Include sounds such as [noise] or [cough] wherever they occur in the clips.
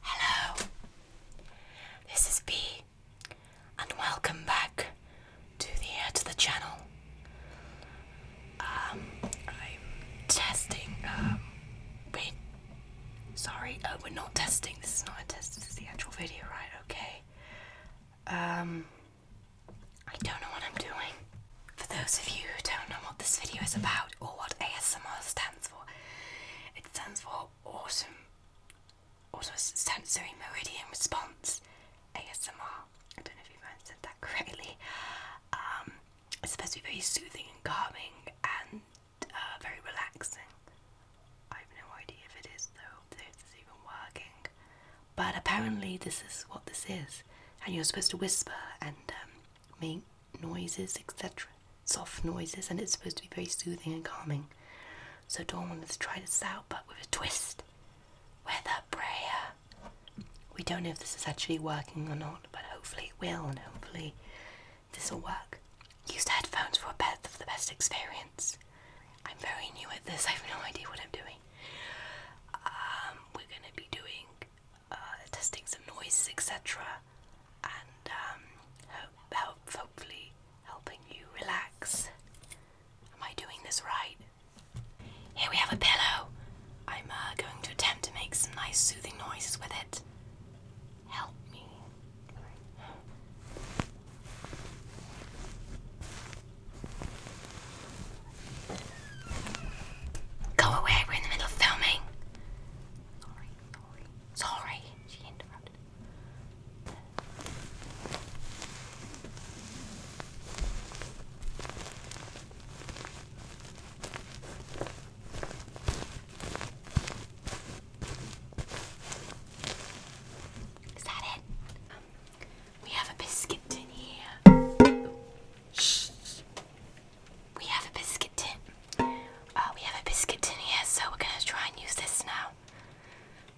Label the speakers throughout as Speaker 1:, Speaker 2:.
Speaker 1: Hello, this is B, and welcome back to the uh, to the channel. Um, I'm testing. Um, wait, sorry, oh, we're not testing. This is not a test. This is the actual video, right? Okay. Um, I don't know what I'm doing. For those of you who don't know what this video is about or what ASMR stands it stands for Awesome, also Sensory Meridian Response ASMR. I don't know if you have said that correctly. Um, it's supposed to be very soothing and calming and uh, very relaxing. I have no idea if it is though, if it's even working. But apparently, this is what this is, and you're supposed to whisper and um, noises, etc. Soft noises, and it's supposed to be very soothing and calming. So Dawn wanted to try this out, but with a twist. With a prayer. We don't know if this is actually working or not, but hopefully it will, and hopefully this will work. Use headphones for a bit of the best experience. I'm very new at this. [laughs] I have no idea what I'm doing. Um, we're gonna be doing uh, testing some noises, etc., and um, help, hopefully helping you relax. Am I doing this right? Here we have a pillow. I'm uh, going to attempt to make some nice soothing noises with it. Help me. Go away, we're in the middle of filming. Sorry, sorry. she interrupted. Is that it? Um, we have a biscuit in here. We have a biscuit tin. Uh, we have a biscuit tin here, so we're gonna try and use this now.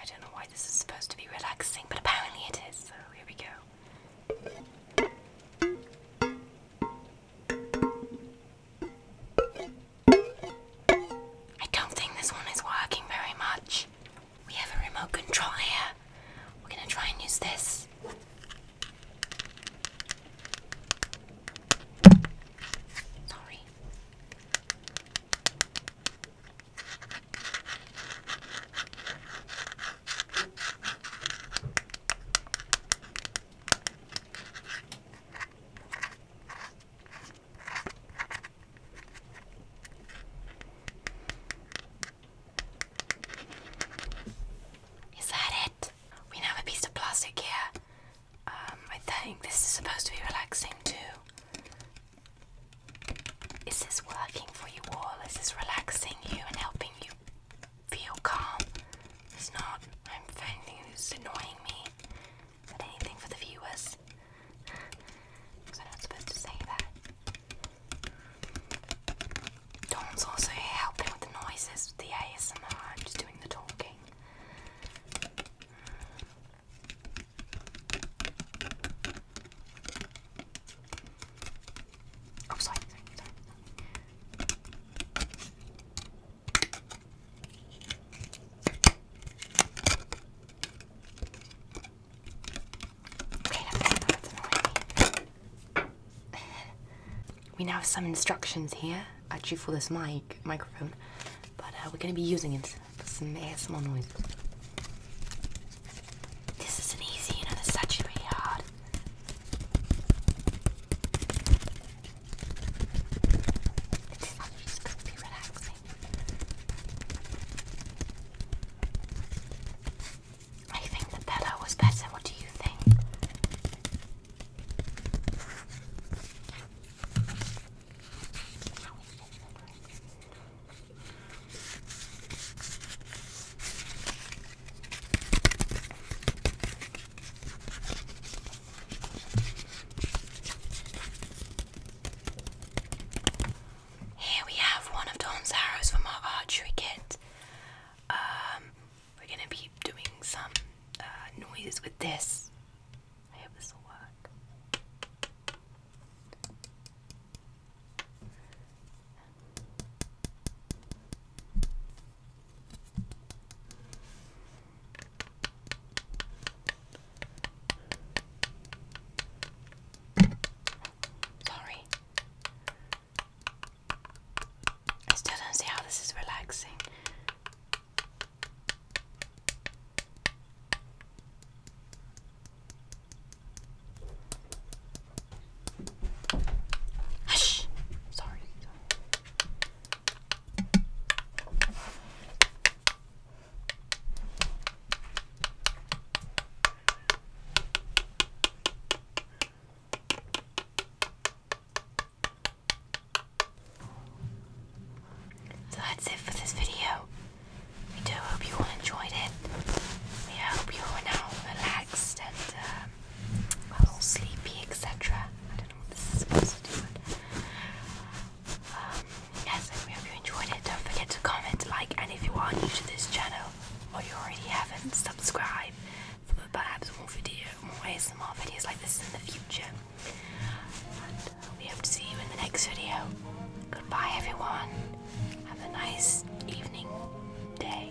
Speaker 1: I don't know why this is supposed to be relaxing, but apparently it is, so here we go. I don't think this one is working very much. We have a remote control here. We're gonna try and use this. Sorry. Is that it? We have a piece of plastic here. Um, I think this is supposed to be relaxing too. Is this working for you all? Is this relaxing you and helping you feel calm? It's not. I'm finding it's annoying me. But anything for the viewers? Because [laughs] i supposed to say that. Tom's also helping with the noises, with the ASMR. I'm just doing the talking. Mm. Oh, sorry we now have some instructions here, actually for this mic microphone, but uh, we're going to be using it for some ASMR noises. This isn't easy, you know, this actually really hard. This is actually just to be relaxing. I think the better was better. What do you think? Here we have one of Don's arrows from our archery kit. Um, we're gonna be doing some uh, noises with this. I hope this will work. Sorry. I still don't see how this is relaxing. Hush! Sorry. So that's it for this video. We do hope you all enjoyed it. We hope you are now relaxed and um, well, sleepy, etc. I don't know what this is supposed to do, um, yes, and hope you enjoyed it. Don't forget to comment, like, and if you are new to this channel or you already haven't, subscribe for perhaps more video, more more videos like this in the future. And we hope to see you in the next video. Goodbye, everyone. Have a nice evening, day.